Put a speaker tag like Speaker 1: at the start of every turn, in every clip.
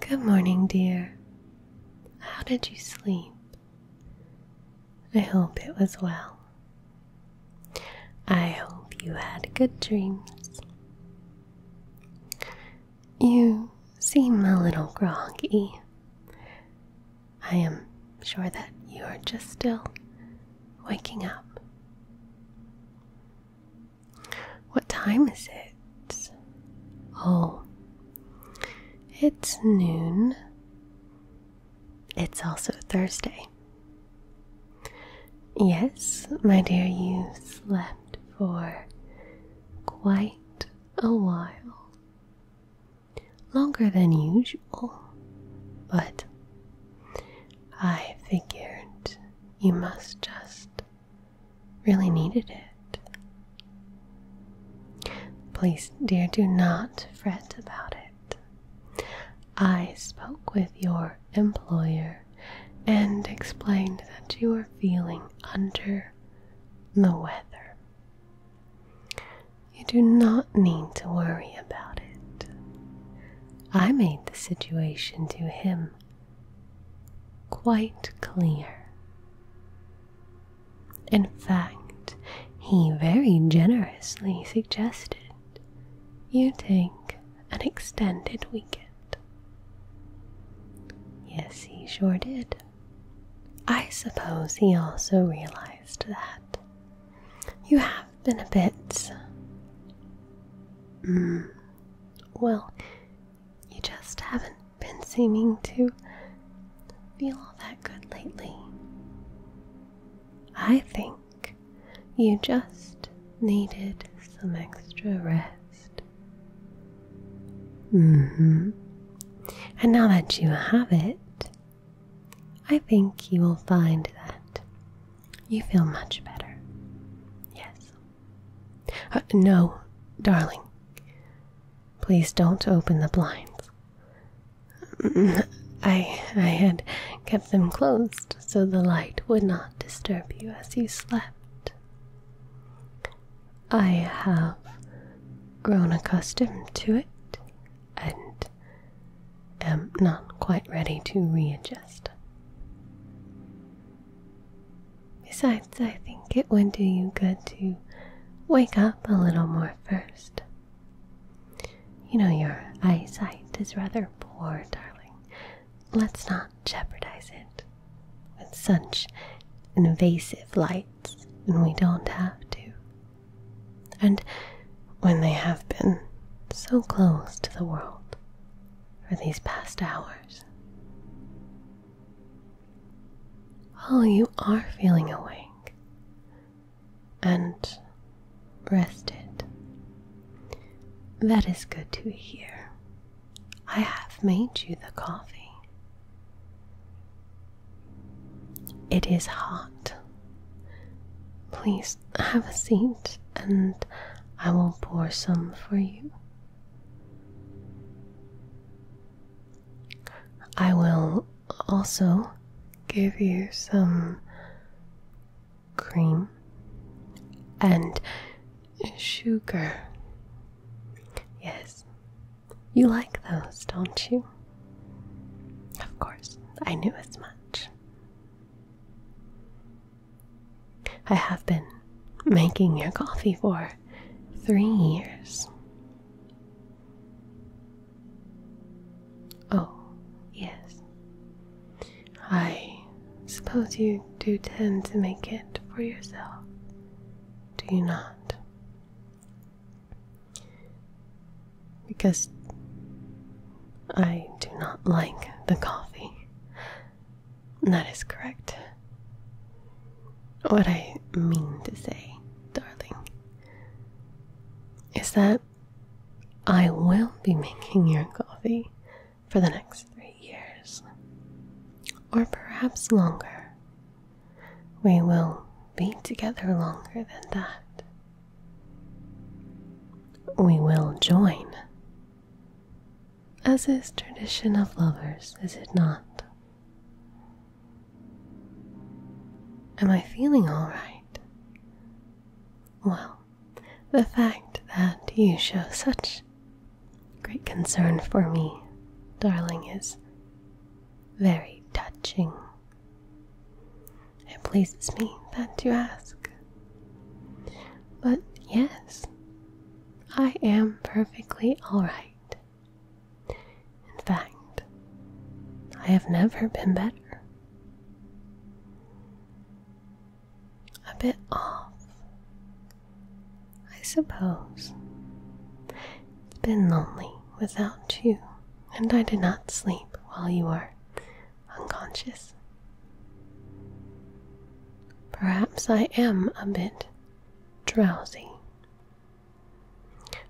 Speaker 1: Good morning, dear. How did you sleep? I hope it was well. I hope you had good dreams. You seem a little groggy. I am sure that you are just still waking up. What time is it? Oh, it's noon. It's also Thursday. Yes, my dear, you slept for quite a while. Longer than usual, but I figured you must just really needed it. Please, dear, do not fret about it. I spoke with your employer and explained that you are feeling under the weather. You do not need to worry about it. I made the situation to him quite clear. In fact, he very generously suggested you take an extended weekend. Yes, he sure did. I suppose he also realized that you have been a bit mm, well, you just haven't been seeming to feel all that good lately. I think you just needed some extra rest. hmm. And now that you have it, I think you will find that you feel much better. Yes. Uh, no, darling. Please don't open the blinds. Mm, I I had kept them closed so the light would not disturb you as you slept. I have grown accustomed to it and am not quite ready to readjust. Besides, I think it would do you good to wake up a little more first. You know, your eyesight is rather poor, darling. Let's not jeopardize it with such invasive lights when we don't have to. And when they have been so close to the world, for these past hours. Oh, you are feeling awake and rested. That is good to hear. I have made you the coffee. It is hot. Please have a seat and I will pour some for you. I will also give you some cream and sugar. Yes, you like those, don't you? Of course, I knew as much. I have been making your coffee for three years. Oh, yes. I suppose you do tend to make it for yourself, do you not? because I do not like the coffee. That is correct. What I mean to say, darling, is that I will be making your coffee for the next three years, or perhaps longer. We will be together longer than that. We will join, as is tradition of lovers, is it not? Am I feeling all right? Well, the fact that you show such great concern for me, darling, is very touching it pleases me that you ask. But yes, I am perfectly alright. In fact, I have never been better. A bit off, I suppose. It's been lonely without you, and I did not sleep while you were unconscious. Perhaps I am a bit drowsy.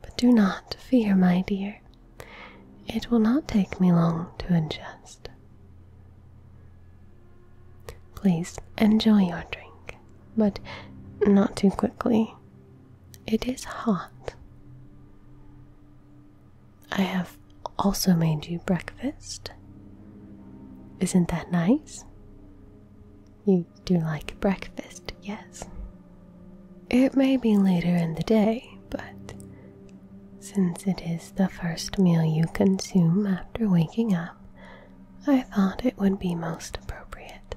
Speaker 1: But do not fear, my dear. It will not take me long to adjust. Please enjoy your drink, but not too quickly. It is hot. I have also made you breakfast. Isn't that nice? You do like breakfast, yes. It may be later in the day, but since it is the first meal you consume after waking up, I thought it would be most appropriate.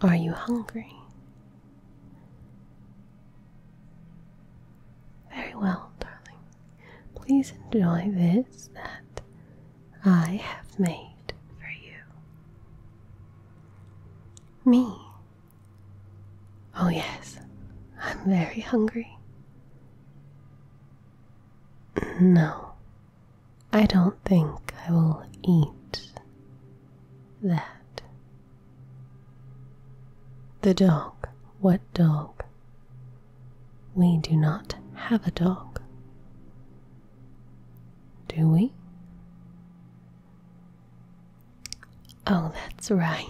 Speaker 1: Are you hungry? Very well, darling. Please enjoy this that I have made for you. Me. Oh, yes, I'm very hungry. No, I don't think I will eat that. The dog, what dog? We do not have a dog. Do we? Oh, that's right.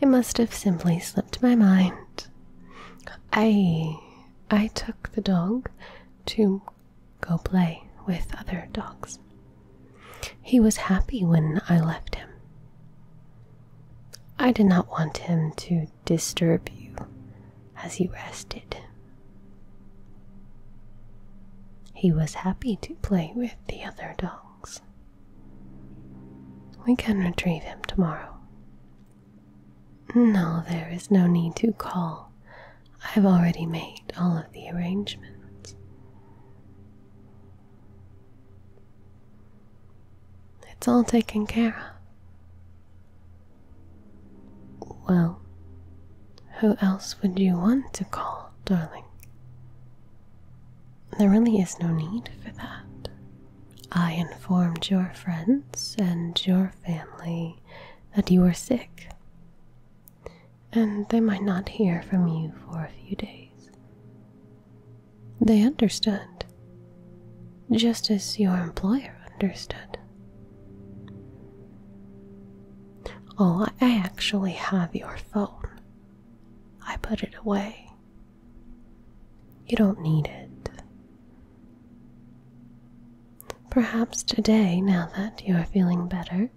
Speaker 1: It must have simply slipped my mind. I I took the dog to go play with other dogs. He was happy when I left him. I did not want him to disturb you as he rested. He was happy to play with the other dogs. We can retrieve him tomorrow. No, there is no need to call I've already made all of the arrangements. It's all taken care of. Well, who else would you want to call, darling? There really is no need for that. I informed your friends and your family that you were sick, and they might not hear from you for a few days. They understood, just as your employer understood. Oh, I actually have your phone. I put it away. You don't need it. Perhaps today, now that you are feeling better,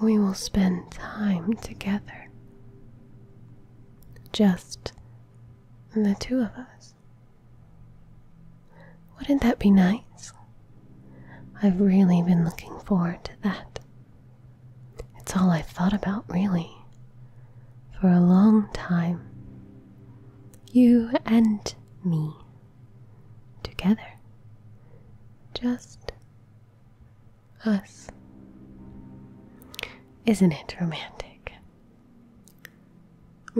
Speaker 1: we will spend time together. Just the two of us. Wouldn't that be nice? I've really been looking forward to that. It's all I've thought about, really, for a long time. You and me together. Just us. Isn't it romantic?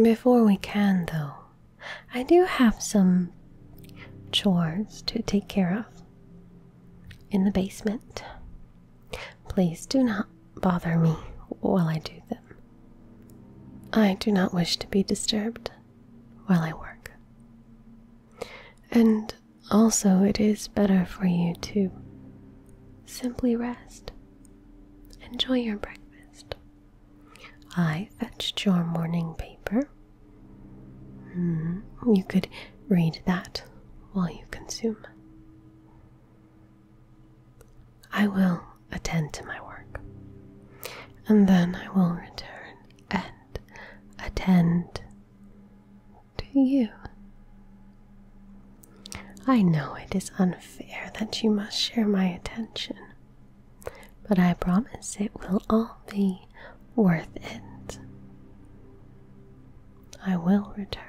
Speaker 1: Before we can, though, I do have some chores to take care of in the basement. Please do not bother me while I do them. I do not wish to be disturbed while I work. And also, it is better for you to simply rest. Enjoy your breakfast. I fetched your morning paper. Hmm, you could read that while you consume. I will attend to my work, and then I will return and attend to you. I know it is unfair that you must share my attention, but I promise it will all be worth it. I will return.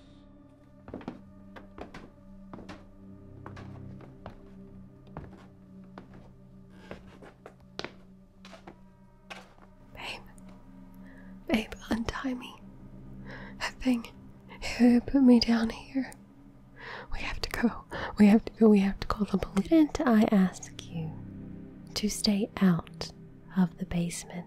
Speaker 1: Babe, babe, untie me. That thing, it put me down here. We have to go. We have to go. We have to call the police. Didn't I ask you to stay out of the basement?